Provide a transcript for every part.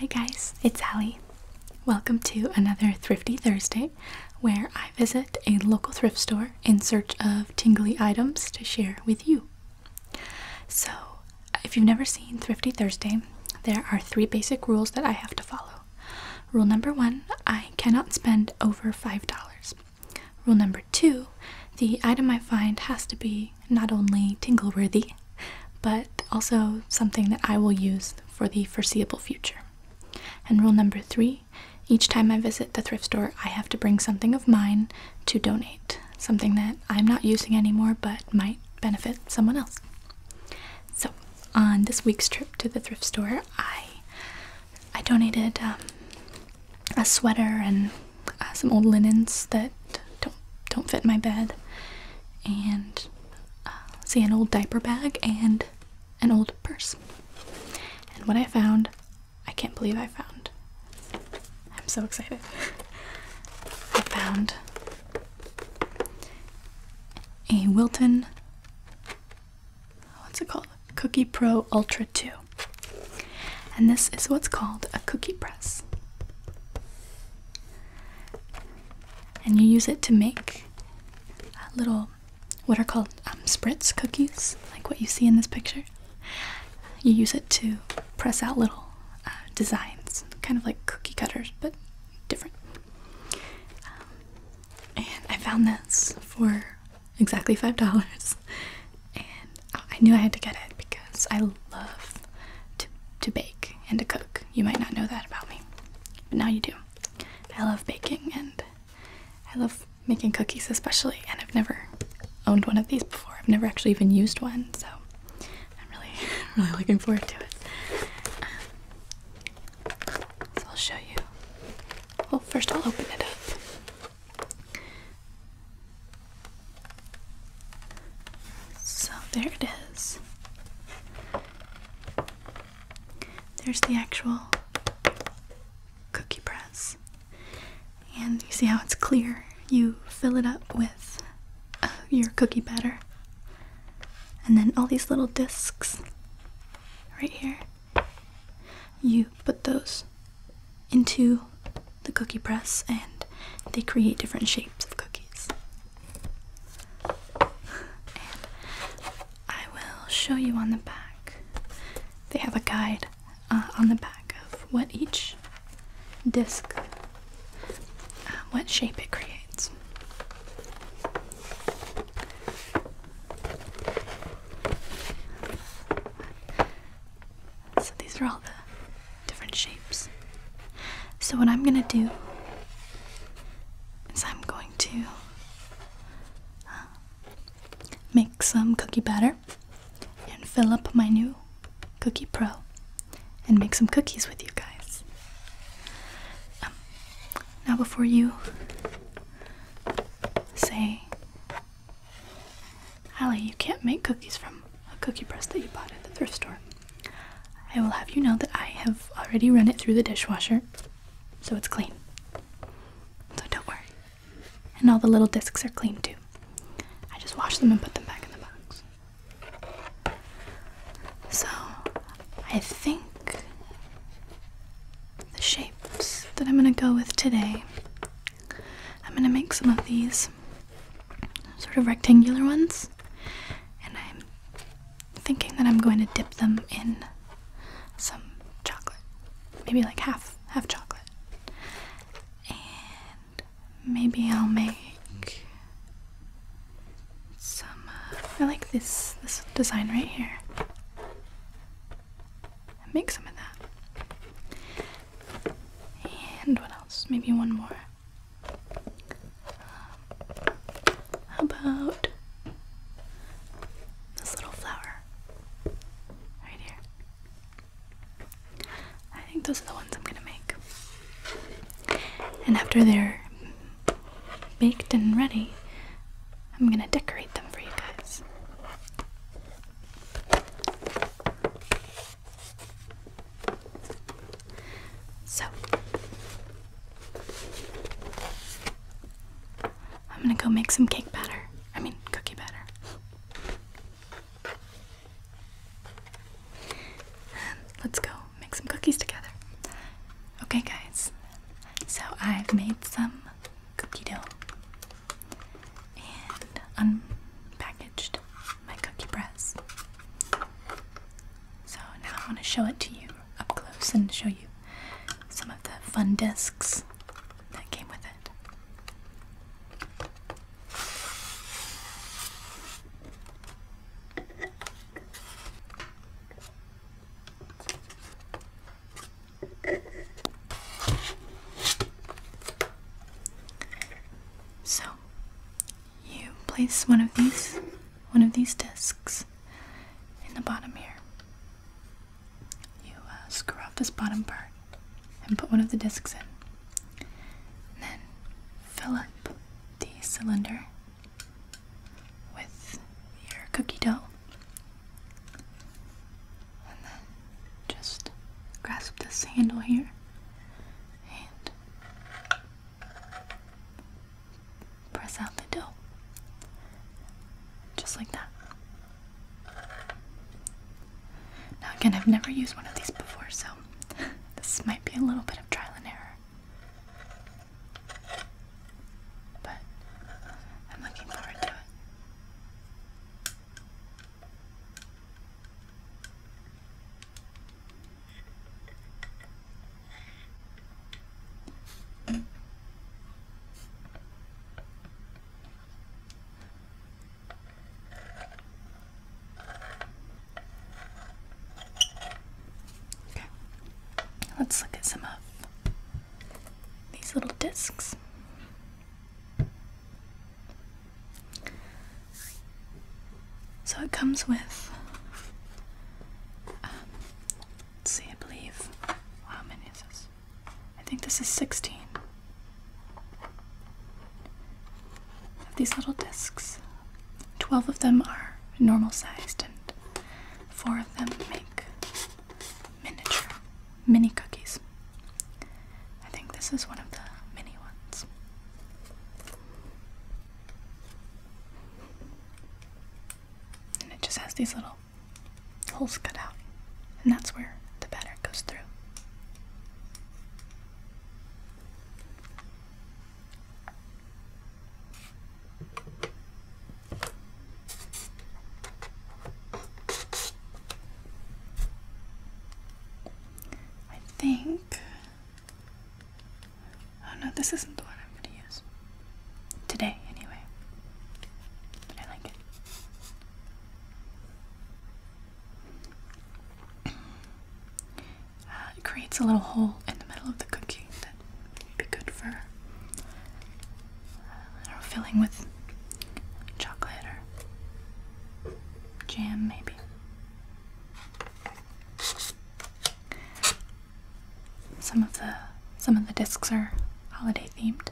Hi guys, it's Allie. Welcome to another Thrifty Thursday where I visit a local thrift store in search of tingly items to share with you. So, if you've never seen Thrifty Thursday, there are three basic rules that I have to follow. Rule number one I cannot spend over $5. Rule number two the item I find has to be not only tingle worthy, but also something that I will use for the foreseeable future. And rule number three each time I visit the thrift store, I have to bring something of mine to donate, something that I'm not using anymore but might benefit someone else. So on this week's trip to the thrift store, I I donated um, a sweater and uh, some old linens that don't don't fit my bed, and uh, see an old diaper bag and an old purse. And what I found, I can't believe I found. I'm so excited. I found a Wilton what's it called? Cookie Pro Ultra 2. And this is what's called a cookie press. And you use it to make little, what are called um, spritz cookies, like what you see in this picture. You use it to press out little uh, designs, kind of like cookie cutters, but different and I found this for exactly five dollars, and I knew I had to get it because I love to bake and to cook. You might not know that about me, but now you do. I love baking and I love making cookies especially, and I've never owned one of these before. I've never actually even used one, so I'm really really looking forward to it. Um, so I'll show you. Well, first I'll open it up. So there it is. There's the actual cookie press. And you see how it's clear? You fill it up with uh, your cookie batter and then all these little discs right here you put those into the cookie press and they create different shapes of cookies i will show you on the back they have a guide uh, on the back of what each disc uh, what shape it creates so these are all the different shapes. So what I'm gonna do is I'm going to uh, make some cookie batter and fill up my new Cookie Pro and make some cookies with you guys. Um, now, before you say, Allie, you can't make cookies from a cookie press that you bought at the thrift store, I will have you know that I have already run it through the dishwasher, so it's clean. So don't worry. And all the little discs are clean too. I just washed them and put them back in the box. So I think the shapes that I'm going to go with today, I'm going to make some of these sort of rectangular ones, and I'm thinking that I'm going to dip them in some chocolate. Maybe like half, half chocolate. And maybe I'll make some uh, I like this this design right here. i make some of that. And what else? Maybe one more. how about this little flower right here? I think those are the ones I'm gonna make. And after they're baked and ready, I'm gonna decorate them for you guys. So, I'm gonna go make some cake batter. I mean, cookie batter. let's go make some cookies together. Okay, guys, so I've made some cookie dough and unpackaged my cookie press. So now I want to show it to you up close and show you some of the fun discs that came with it. So, you place one of these, one of these discs in the bottom here. You uh, screw off this bottom part and put one of the discs in. then fill up the cylinder with your cookie dough. And then just grasp this handle here and press out the dough. Just like that. Now, again, I've never used one of these before, so this might be a little bit of trial and error. But uh, I'm looking forward to it. Okay, let's look at some of these little discs. So it comes with, um, see, I believe, how many is this? I think this is 16 these little discs. 12 of them are normal sized, and four of them make miniature mini cookies. I think this is one of the mini ones. And it just has these little holes cut out, and that's where the batter goes through. I think. Oh no, this isn't the one I'm gonna use. Today, anyway. I like it. Uh, it creates a little hole in the middle of the cookie that would be good for filling with chocolate or jam, maybe. Some of the some of the discs are holiday themed,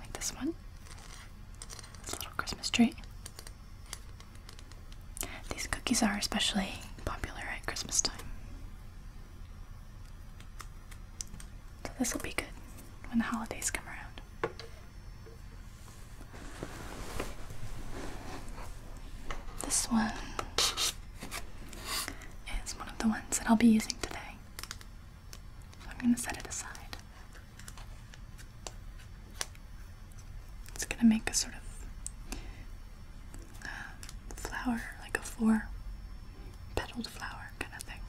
like this one. It's a little Christmas tree. These cookies are especially popular at Christmas time. So this will be good when the holidays come around. This one is one of the ones that I'll be using today. So I'm going to set it aside. It's going to make a sort of uh, flower, like a four petaled flower kind of thing.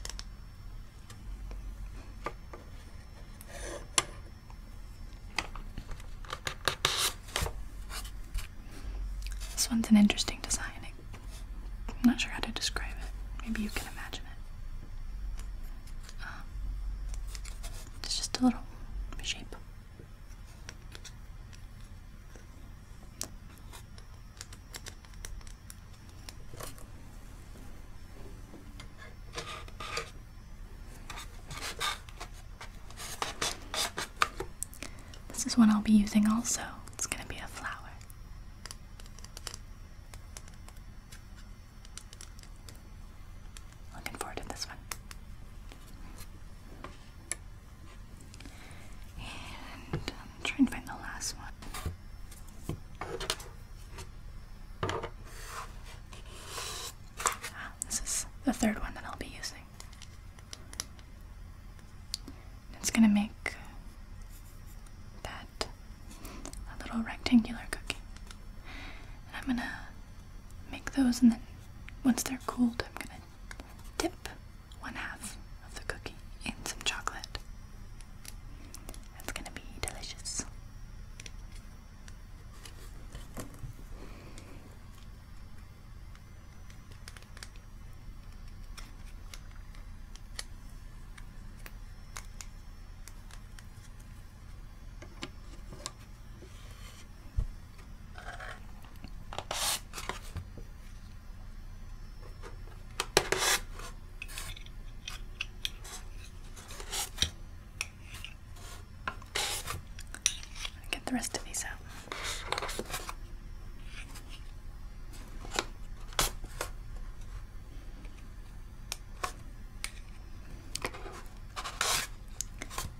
This one's an interesting design. I'm not sure how to describe it. Maybe you can imagine it. Um, it's just a little shape. This is one I'll be using also. It's going to be a flower. Looking forward to this one. And I'm um, trying to find the last one. Ah, this is the third one that I'll be using. It's gonna make that a little rectangular cookie. And I'm gonna make those and then once they're cooled, I'm gonna dip one half of the cookie and some chocolate. That's gonna be delicious. Get the rest of these out.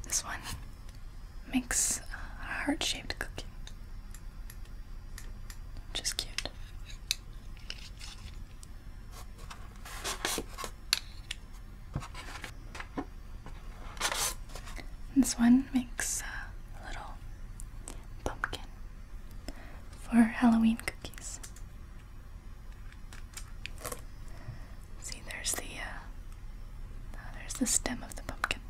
This one makes a heart shaped cookie. Just cute. This one makes a little pumpkin for Halloween cookies. See, there's the uh, there's the stem of the pumpkin.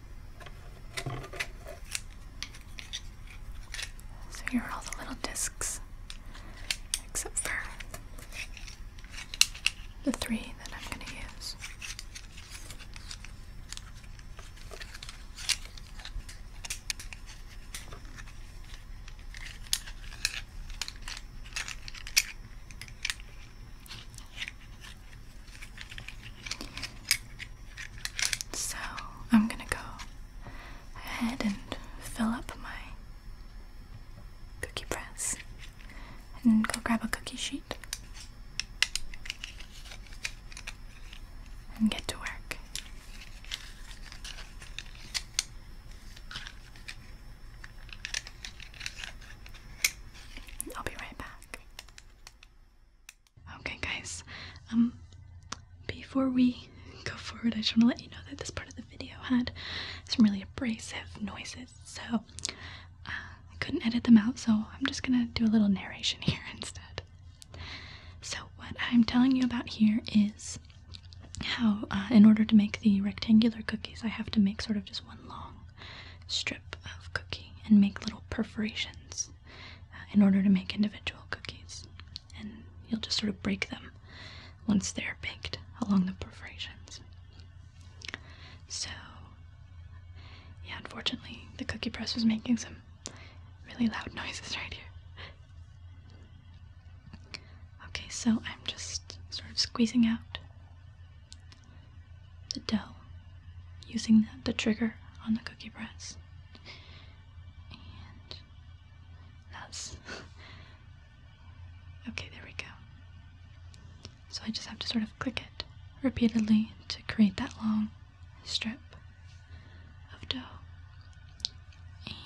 So here are all the little discs, except for the three that I'm going to use. So I'm gonna go ahead and fill up my cookie press and go grab a cookie sheet and get to work. I'll be right back. Okay, guys. Um, before we go forward, I just want to let you know that this part of the video had some really abrasive noises, so uh, I couldn't edit them out. So I'm just gonna do a little narration here instead. So what I'm telling you about here is how, uh, in order to make the rectangular cookies, I have to make sort of just one long strip of cookie and make little perforations uh, in order to make individual cookies. And you'll just sort of break them once they're baked along the perforations. So, yeah, unfortunately, the cookie press was making some really loud noises right here. Okay, so I'm just sort of squeezing out the dough, using the, trigger on the cookie press. And that's okay, there we go. So I just have to sort of click it repeatedly to create that long strip of dough.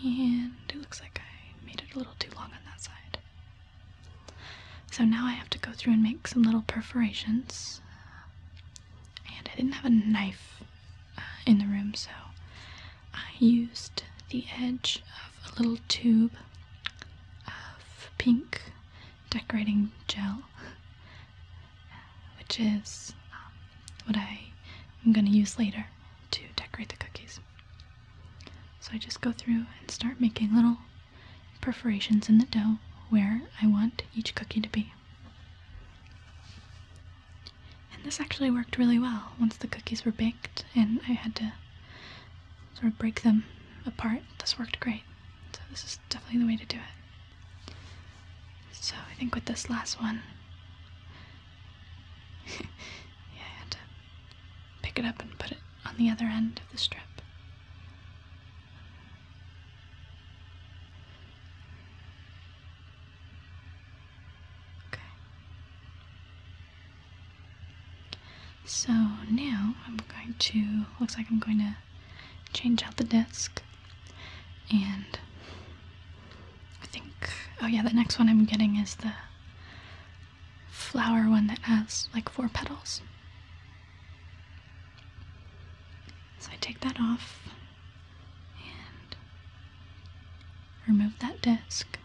And it looks like I made it a little too long on that side. So now I have to go through and make some little perforations and I didn't have a knife uh, in the room, so I used the edge of a little tube of pink decorating gel, which is um, what I am going to use later to decorate the cookies. So I just go through and start making little perforations in the dough where I want each cookie to be. And this actually worked really well once the cookies were baked and I had to sort of break them apart. This worked great. So this is definitely the way to do it. So I think with this last one, yeah, I had to pick it up and put it on the other end of the strip. Okay. So now I'm going to, looks like I'm going to change out the desk. And I think, oh yeah, the next one I'm getting is the flower one that has like four petals. So I take that off and remove that disc.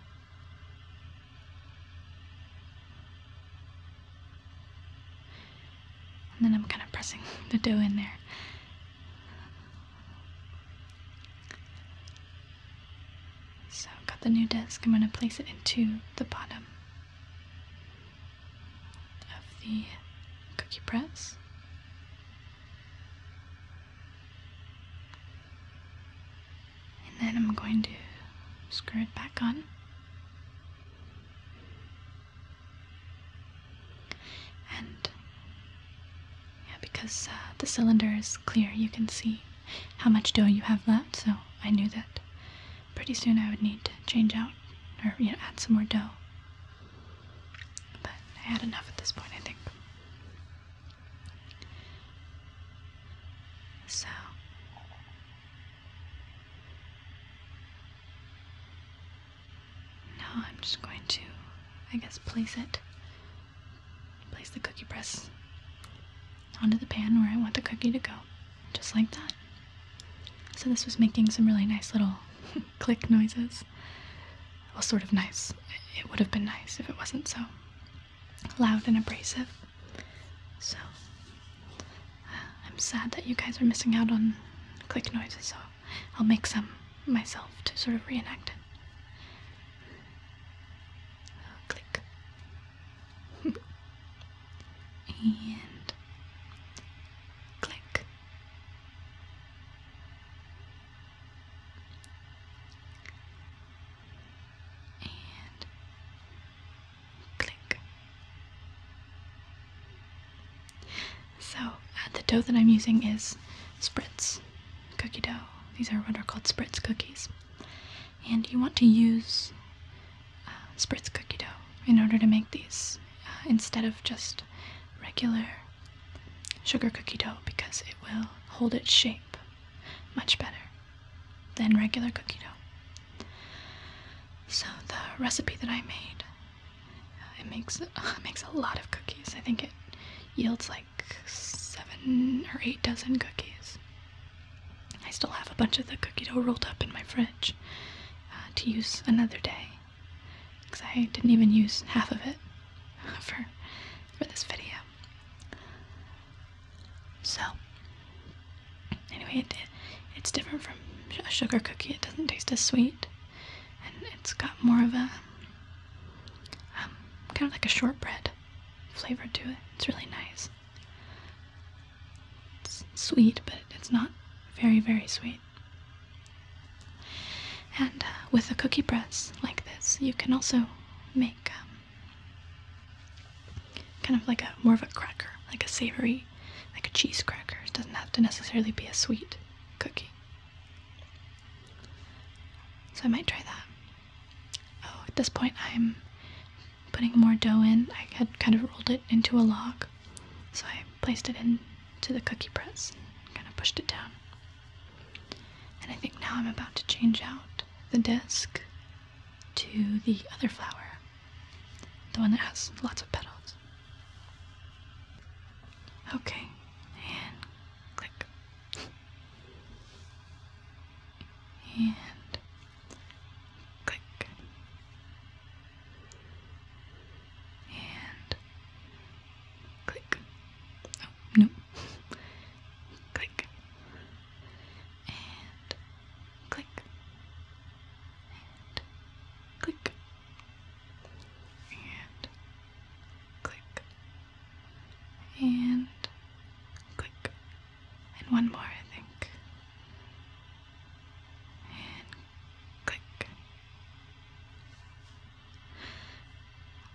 And then I'm kind of pressing the dough in there. So I've got the new disc. I'm going to place it into the bottom of the cookie press. And then I'm going to screw it back on. And because uh, the cylinder is clear, you can see how much dough you have left, so I knew that pretty soon I would need to change out or you know, add some more dough. But I had enough at this point, I think. So. Now I'm just going to, I guess, place it. Place the cookie press onto the pan where I want the cookie to go. Just like that. So this was making some really nice little click noises. Well, sort of nice. It would have been nice if it wasn't so loud and abrasive. So uh, I'm sad that you guys are missing out on click noises, so I'll make some myself to sort of reenact it. Oh, click. and click and click. So uh, the dough that I'm using is spritz cookie dough. These are what are called spritz cookies, and you want to use uh, spritz cookie dough in order to make these uh, instead of just regular sugar cookie dough because it will hold its shape much better than regular cookie dough. So the recipe that I made uh, it makes makes a lot of cookies. I think it yields like 7 or 8 dozen cookies. I still have a bunch of the cookie dough rolled up in my fridge uh, to use another day because I didn't even use half of it for, for this video. So, anyway, it, it's different from a sugar cookie. It doesn't taste as sweet, and it's got more of a um, kind of like a shortbread flavor to it. It's really nice. It's sweet, but it's not very, very sweet. And uh, with a cookie press like this, you can also make um, kind of like a more of a cracker, like a savory, like a cheese cracker. It doesn't have to necessarily be a sweet cookie. So I might try that. Oh, at this point I'm putting more dough in. I had kind of rolled it into a log so I placed it into the cookie press and kind of pushed it down. And I think now I'm about to change out the desk to the other flower, the one that has lots of petals. Okay, and click. And click and click. Oh, no. click. And click. And click. And click. And click. And one more, I think. And click.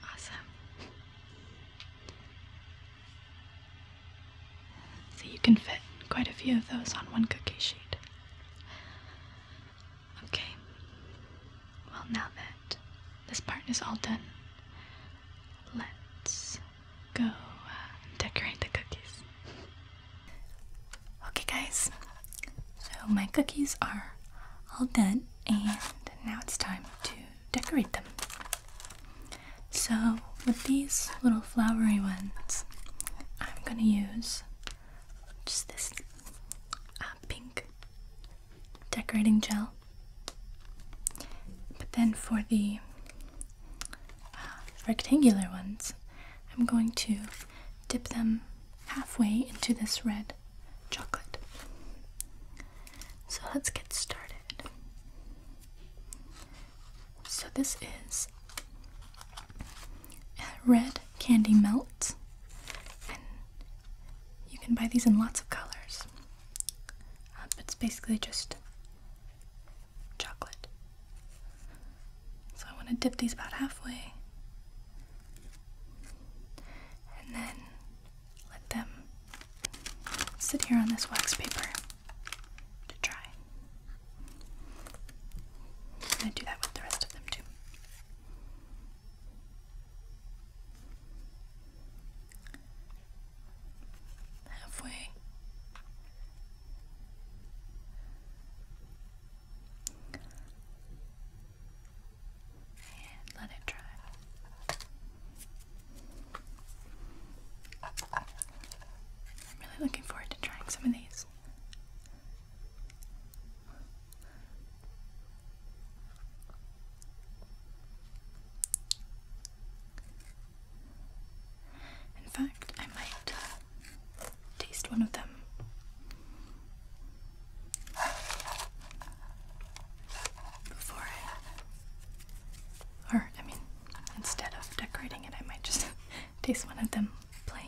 Awesome. So you can fit quite a few of those on one cookie sheet. Okay. Well, now that this part is all done, let's go uh, decorate the cookies. Okay, guys, so my cookies are all done, and now it's time to decorate them. So, with these little flowery ones, I'm gonna use just this uh, pink decorating gel. But then for the uh, rectangular ones, I'm going to dip them halfway into this red chocolate. So let's get started. So this is red candy melt, and you can buy these in lots of colors. Uh, it's basically just chocolate. So I want to dip these about halfway and then let them sit here on this wax paper to dry. i do that with the rest of them too. Halfway and let it dry. I'm really looking forward to trying some of these. In fact, I might uh, taste one of them. Before I. Or, I mean, instead of decorating it, I might just taste one of them plain.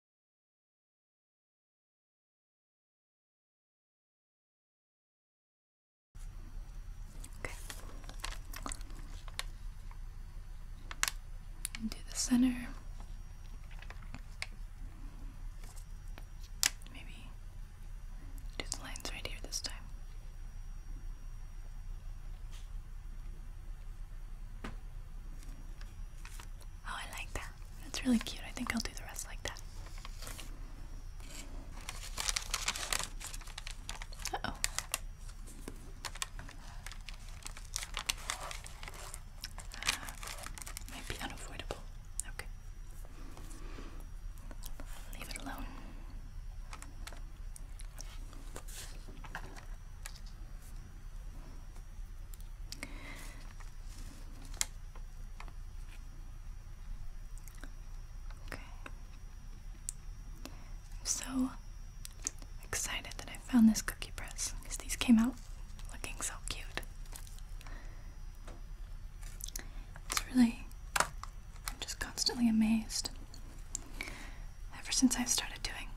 Okay. And the center. Maybe do the lines right here this time. Oh, I like that. That's really cute. I think I'll do the rest like that. oh. might be unavoidable. Okay. Leave it alone. I'm so excited that I found this cookie press because these came out looking so cute. It's really, I'm just constantly amazed. Ever since I've started doing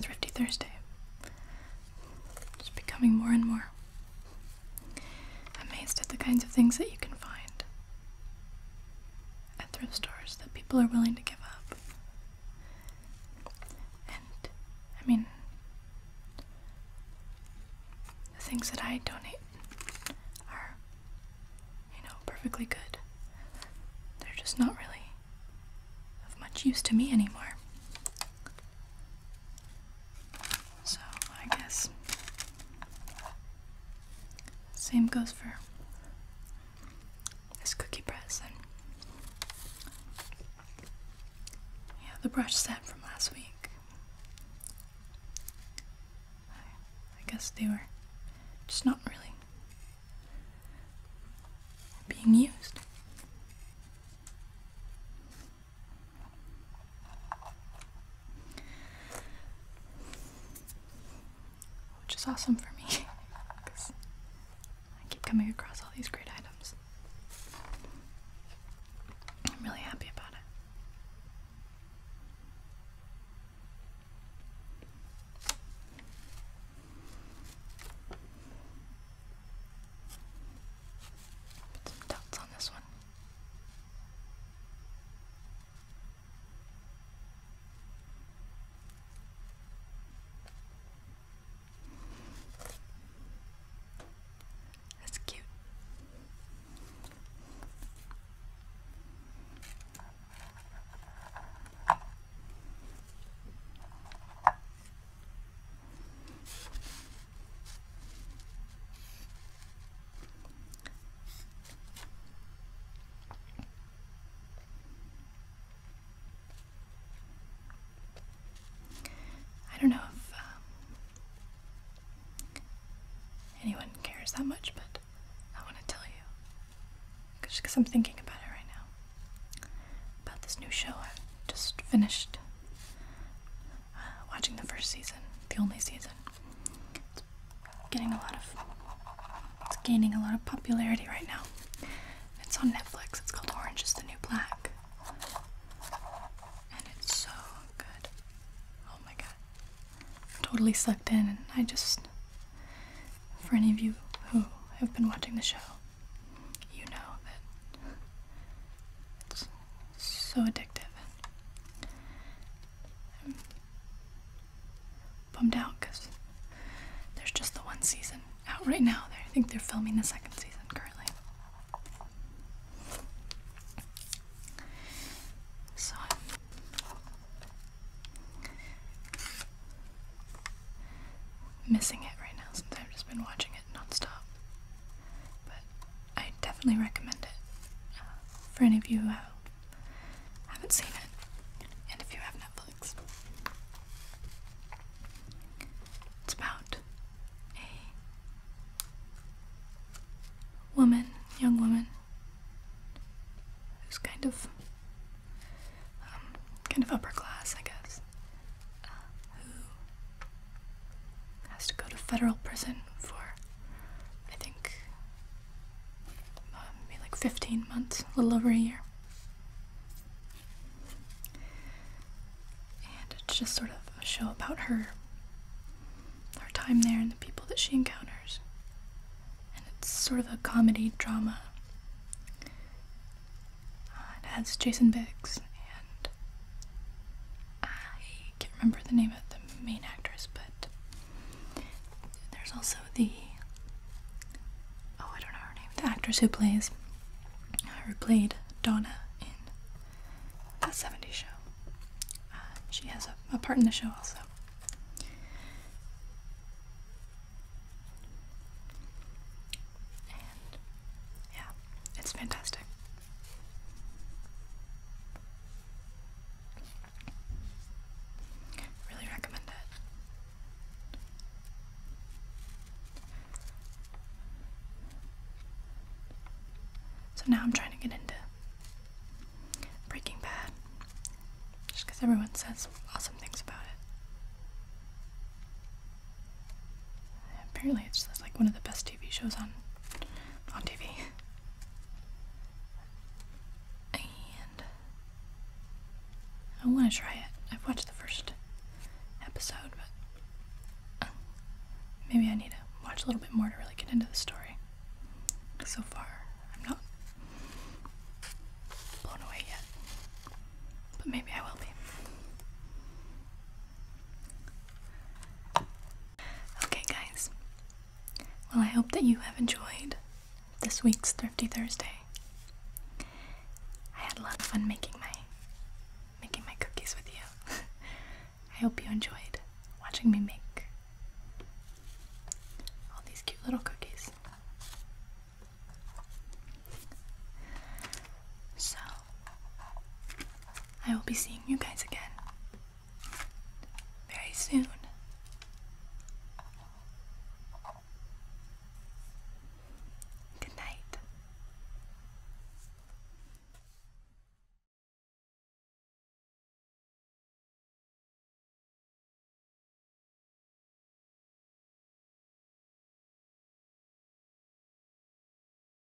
Thrifty Thursday, it's becoming more and more amazed at the kinds of things that you can find at thrift stores that people are willing to give up. And I mean, the things that I donate are, you know, perfectly good. They're just not really of much use to me anymore. So I guess same goes for this cookie press and yeah, the brush set from last week. I, I guess they were just not really being used. Which is awesome for me because I keep coming across all these great items. I'm really happy about it. Put some dots on this one. That's cute. I don't know if um, anyone cares that much, but I want to tell you because I'm thinking about it right now. About this new show I just finished watching the first season, the only season. It's getting a lot of, it's gaining a lot of popularity right now. It's on Netflix. It's called Orange is the New Black. And it's so good. Oh my god. totally sucked in, and I just, for any of you who have been watching the show, you know that so addictive. I'm bummed out because there's just the one season out right now. I think they're filming the second season currently. So I'm missing it right now since I've just been watching it nonstop. But I definitely recommend it uh, for any of you who haven't seen it, and if you have Netflix. It's about a woman, young woman, who's kind of, um, kind of upper class, I guess, uh, has to go to federal prison for, I think, um, maybe like 15 months, a little over a year. And it's just sort of a show about her, her time there and the people that she encounters. And it's sort of a comedy drama. Uh, it has Jason Biggs and I can't remember the name of the main actress, but there's also the oh, I don't know her name, the actress who plays who played Donna in that 70s show. Uh, she has a, part in the show also. yeah, it's fantastic. Really recommend it. So now I'm trying to get into Breaking Bad just because everyone says awesome things about it. Apparently, it's just like one of the best TV shows on on TV. And I want to try it. I've watched the first episode, but uh, maybe I need to watch a little bit more to really get into the story. So far, I'm not blown away yet, but maybe I will be. Okay, guys. Well, I hope that you have enjoyed this week's Thrifty Thursday. I had a lot of fun making my making my cookies with you. I hope you enjoyed watching me make all these cute little cookies. So, I will be seeing you guys again very soon. Good night.